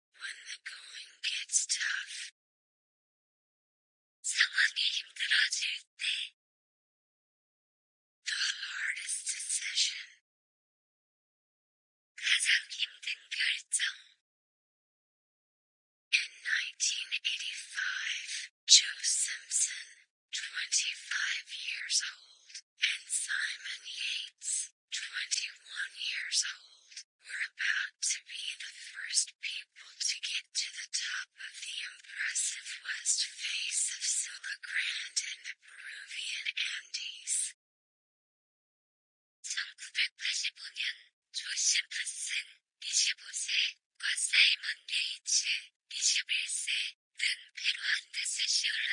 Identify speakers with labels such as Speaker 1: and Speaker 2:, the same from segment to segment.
Speaker 1: When the going gets tough. someone 상황이 힘들어질 때. The hardest decision. 가장 힘든 결정. In 1985, Joe Simpson, 25 years old, and Simon Yates, twenty-one years old, We're about to be the first people to get to the top of the impressive west face of Silla in the Peruvian Andes. 는 페루 안데스 시올라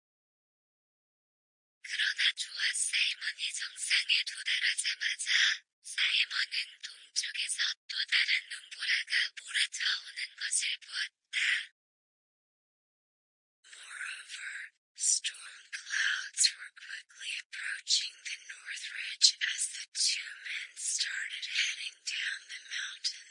Speaker 1: 그러나 조아스 사이먼이 정상에 도달하자마자 사이먼은 동쪽에서 또 다른 눈보라가 몰아쳐오는 것을 보았다. Moreover, storm clouds were quickly approaching the north ridge as the two men started heading down the mountain.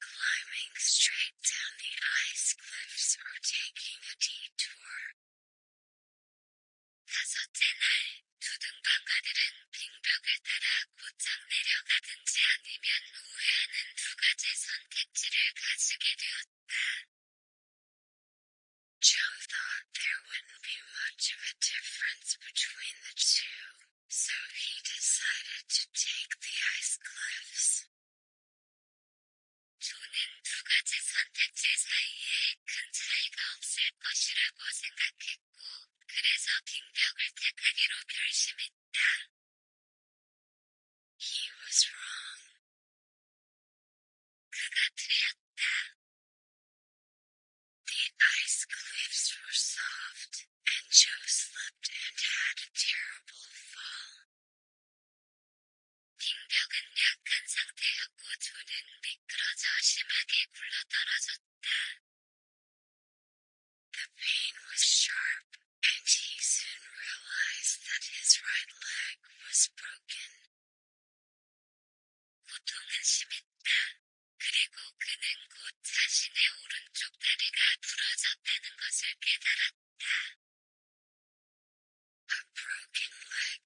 Speaker 1: climbing straight down the ice cliffs or taking a detour. 다섯째 날, 두등반가들은 빙벽을 따라 곧장 내려가든지 아니면 우회하는 두 가지 선택지를 가지게 되었다. Joe thought there wouldn't be much of a difference between the two, so he decided to take the ice cliffs. 저는 두 가지 선택지 사이에 큰 차이가 없을 것이라고 생각했고, 그래서 빙벽을 택하기로 결심했다. He was wrong. 그가 틀렸다. The ice cliffs were soft and Joe slipped and had a terrible fall. 빙벽은 약한 상태였고 조는 미끄러져 심하게 굴러떨어졌다. The pain was sharp, and he soon realized that his right leg was broken. 고통은 심했다. 그리고 그는 곧 자신의 오른쪽 다리가 부러져 a broken leg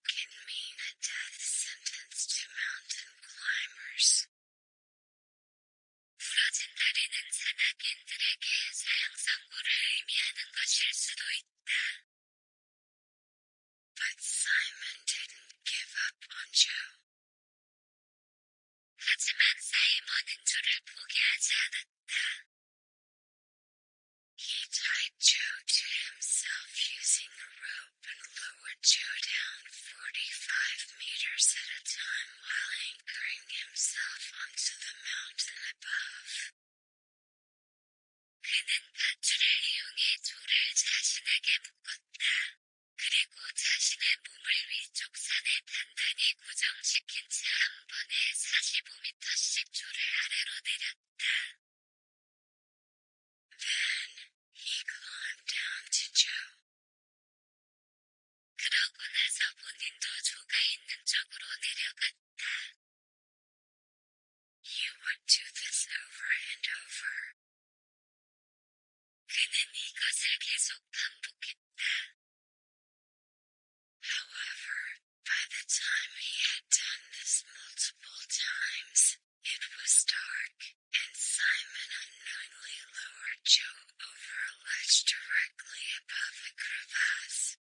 Speaker 1: can mean a death sentence to mountain climbers. 부러진 다리는 산악인들에게 사형 선고를 의미하는 것일 수도 있다. But Simon didn't give up on Joe. He tied Joe to himself using a rope and lowered Joe down 45 meters at a time while anchoring himself onto the mountain above. 그는 밧줄을 이용해 둘을 자신에게 묶었다. 그리고 자신의 몸을 위쪽 산에 단단히 고정시킨 채 한 번에 45m씩 줄을 아래로 내렸다. Then he climbed down to Joe. 그러고 나서 본인도 조가 있는 쪽으로 내려갔다. You would do this over and over. However, by the time he had done this multiple times, it was dark, and Simon unknowingly lowered Joe over a ledge directly above the crevasse.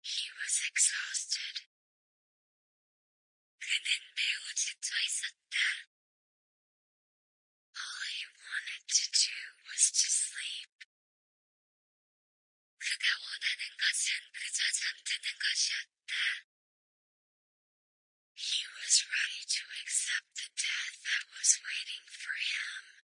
Speaker 1: He was exhausted. All he wanted to do was to sleep. He was ready to accept the death that was waiting for him.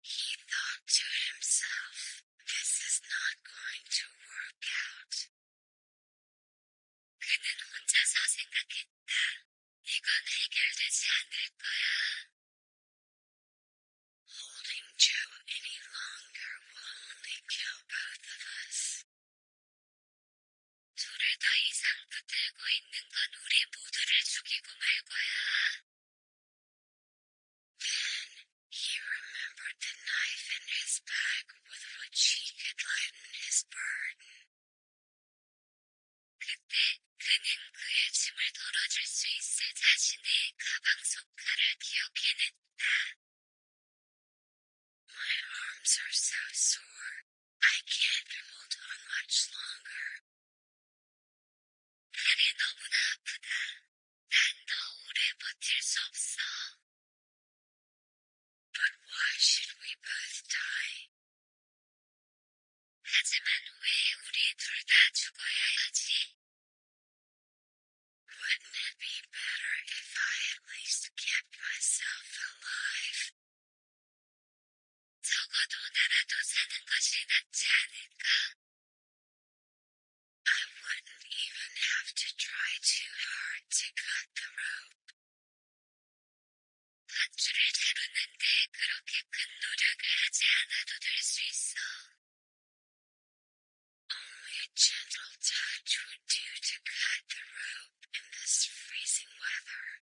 Speaker 1: He thought to himself, This is not going to work out. Uh, holding Joe any longer will only kill both of us. Then he remembered the knife in his bag with which he could lighten his burden. 그때 그는 그의 짐을 덜어줄 수 있을 자신의 가방 속 칼을 기억해냈다. My arms are so sore. I can't hold on much longer. 다리 up 아프다. 난더 오래 버틸 수 없어. But why should we both die? 하지? Wouldn't it be better if I at least kept myself alive? I wouldn't even have to try too hard to cut the rope. 밧줄을 다루는데 그렇게 큰 노력을 하지 않아도 될수 있어. Only a gentle touch would do to cut the rope in this freezing weather.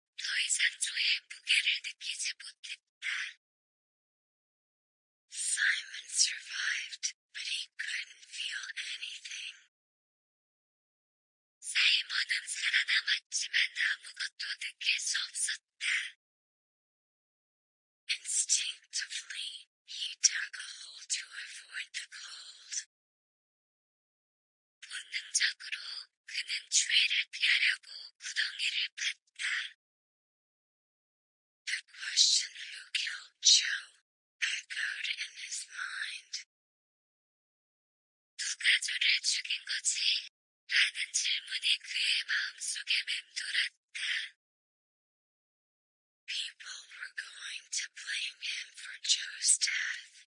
Speaker 1: 더 이상 저의 무게를 느끼지 못했다. Simon survived, but he couldn't feel anything. 사이먼은 살아남았지만 아무것도 느낄 수 없었다. Instinctively, he dug a hole to avoid the cold. 본능적으로 그는 주애를 피하려고 구덩이를 팠다. The question who killed Joe echoed in his mind. The 저를 죽인 거지? 라는 질문이 그의 마음속에 맴돌았다. People were going to blame him for Joe's death.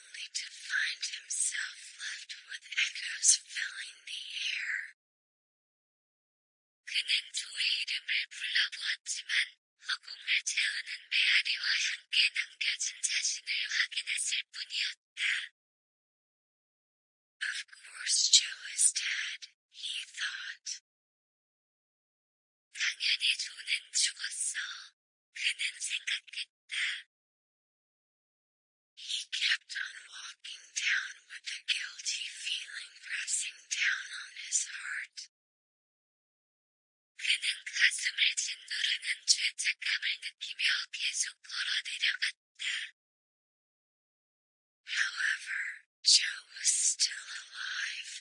Speaker 1: only to find himself left with echoes filling the air. 그는 조의 이름을 불러보았지만 허공을 채우는 메아리와 함께 남겨진 자신을 확인했을 뿐이었다. Of course Joe is dead, he thought. 당연히 조는 죽었어, 그는 생각했다. He kept on walking down with a guilty feeling pressing down on his heart. However, Joe was still alive.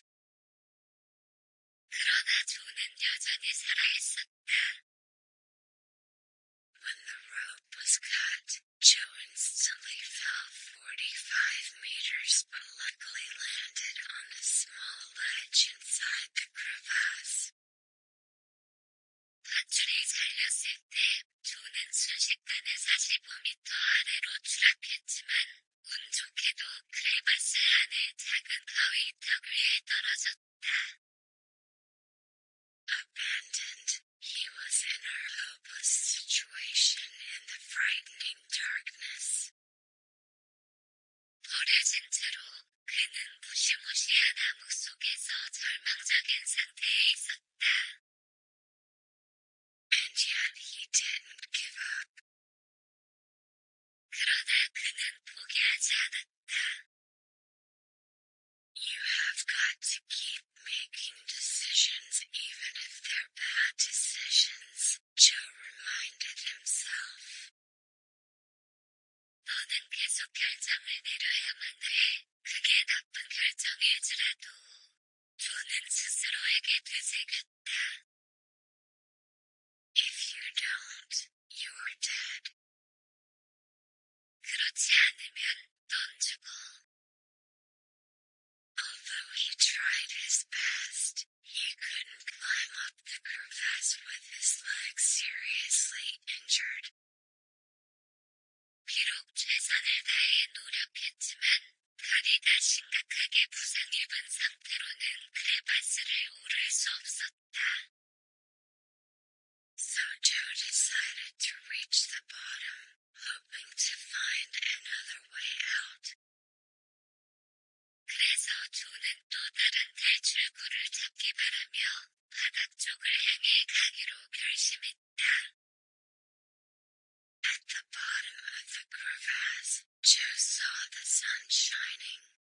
Speaker 1: When the rope was cut, Joe instantly fell 45 meters but luckily landed on a small ledge inside the crevasse. 가출이 잘렸을 때 조는 순식간에 45m 아래로 추락했지만 운 좋게도 크레바스 안에 작은 가위 턱 위에 떨어져 Abandoned, he was in a hopeless situation in the frightening darkness. 버려진 채로 그는 무시무시한 암흑 속에서 절망적인 상태에 있었다. And yet he didn't give up. You have got to keep making decisions even if they're bad decisions, Joe reminded himself. 너는 계속 결정을 내려야만 해. 그게 나쁜 결정일지라도. 존은 스스로에게 되새겼다. If you don't, you are dead. 그렇지 않으면 던지고. Although he tried his best, he couldn't climb up the crevasse with his leg seriously injured. 비록 최선을 다해 노력했지만 다리가 심각하게 부상입은 상태로는 크레바스를 오를 수 없었다. So Joe decided to reach the bottom, hoping to find another way out. At the bottom of the crevasse, Joe saw the sun shining.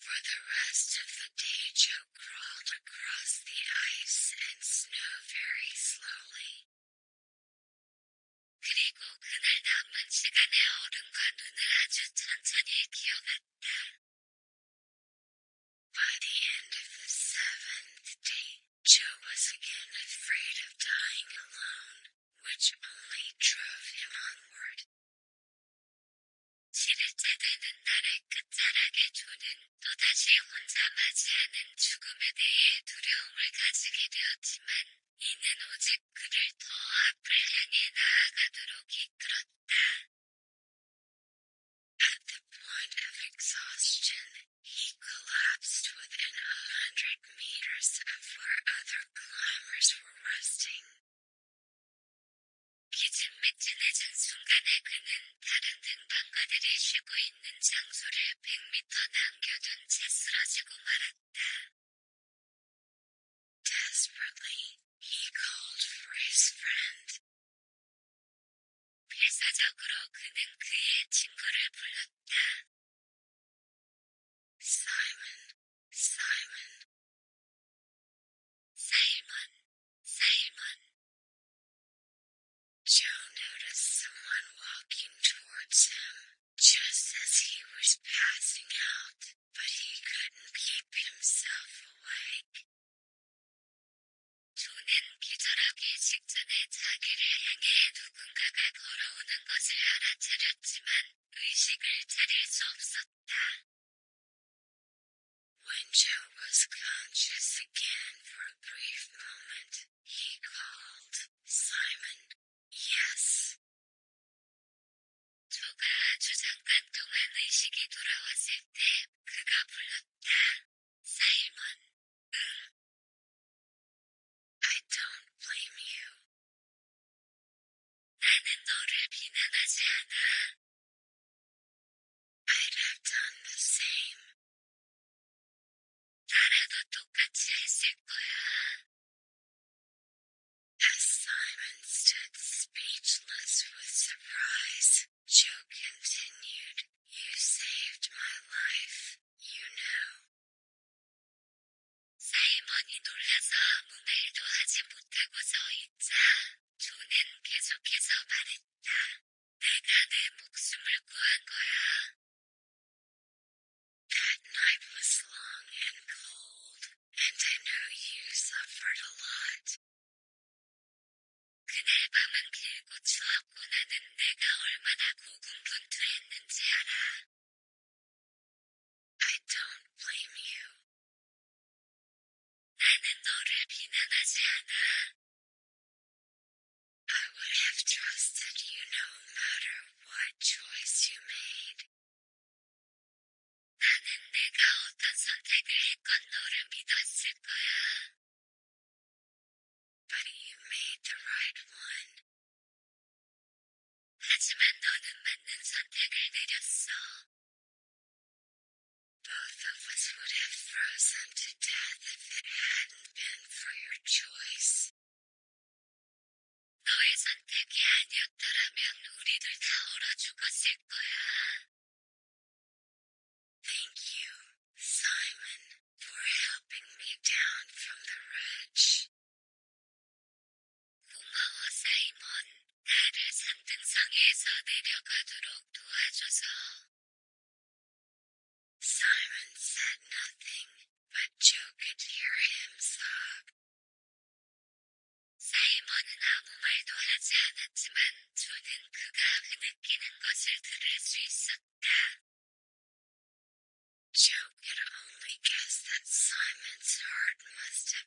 Speaker 1: For the rest of the day, Joe crawled across the ice and snow very slowly. 그리고 그날 남은 시간에 얼음과 눈을 아주 천천히 기어갔다. By the end of the seventh day, Joe was again afraid of dying alone, which only drove him onward. 실제되는 날의 끝자락에 존은 또다시 혼자 맞이하는 죽음에 대해 두려움을 가지게 되었지만 이는 오직 그를 더 앞을 향해 나아가도록 이끌었다. At the point of exhaustion, he collapsed within a hundred meters of where other climbers were resting. 기침매진해진 순간에 그는 다른 등반가들이 쉬고 있는 장소를 100m 남겨둔 채 쓰러지고 말았다. Desperately, he called for his friend. 필사적으로 그는 그의 친구를 불렀다. Simon, Simon, Simon, Simon. Joe noticed someone walking towards him just as he was passing out, but he couldn't keep himself awake. 조는 기절하기 직전에 자기를 향해 누군가가 걸어오는 것을 알아차렸지만 의식을 차릴 수 없었다. When Joe was conscious again for a brief moment, he called, Simon, yes. 조가 조장간 동안 의식이 돌아왔을 때 그가 불렀다. 사이먼, 응. I don't blame you. 나는 너를 비난하지 않아. I'd have done the same. 나라도 똑같이 했을 거야. As Simon stood speechless with surprise, Joe continued, You saved my life, you know. 사이먼이 놀라서 아무 말도 하지 못하고 서 있자. 주는 계속해서 말했다. 내가 내 목숨을 구한 거야. That night was long and cold, and I know you suffered a lot. 그날 길고 추웠고 나는 내가 얼마나 고군분투했는지 알아. I don't blame you. I would have trusted you no matter what choice you made. Oh but you made the right one. Both of us would have frozen to death if it hadn't been for your choice. 너의 선택이 아니었더라면 우리들 다 얼어 죽었을 거야. Thank you, Simon, for helping me down from the ridge. Simon said nothing, but Joe could hear him sob. 사이먼은 아무 말도 하지 않았지만 조는 그가 흐느끼는 것을 들을 수 있었다. Joe could only guess that Simon's heart must have.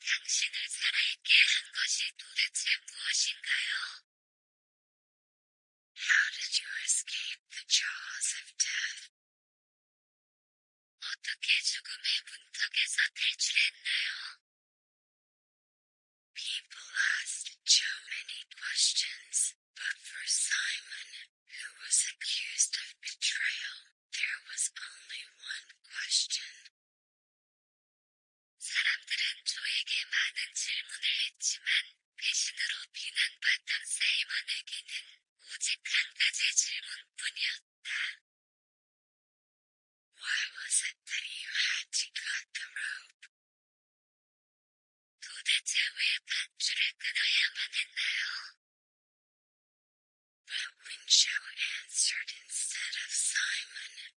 Speaker 1: 당신을 살아있게 한 것이 도대체 무엇인가요? How did you escape the jaws of death? 어떻게 죽음의 문턱에서 탈출했나요? People asked Joe many questions, but for Simon, who was accused of betrayal, there was only one question. 사람들은 조에게 많은 질문을 했지만 배신으로 비난받던 사이먼에게는 오직 한 가지 질문뿐이었다. Why was it that you had to cut the rope? 도대체 왜 밧줄을 끊어야만 했나요? But when Winshow answered instead of Simon.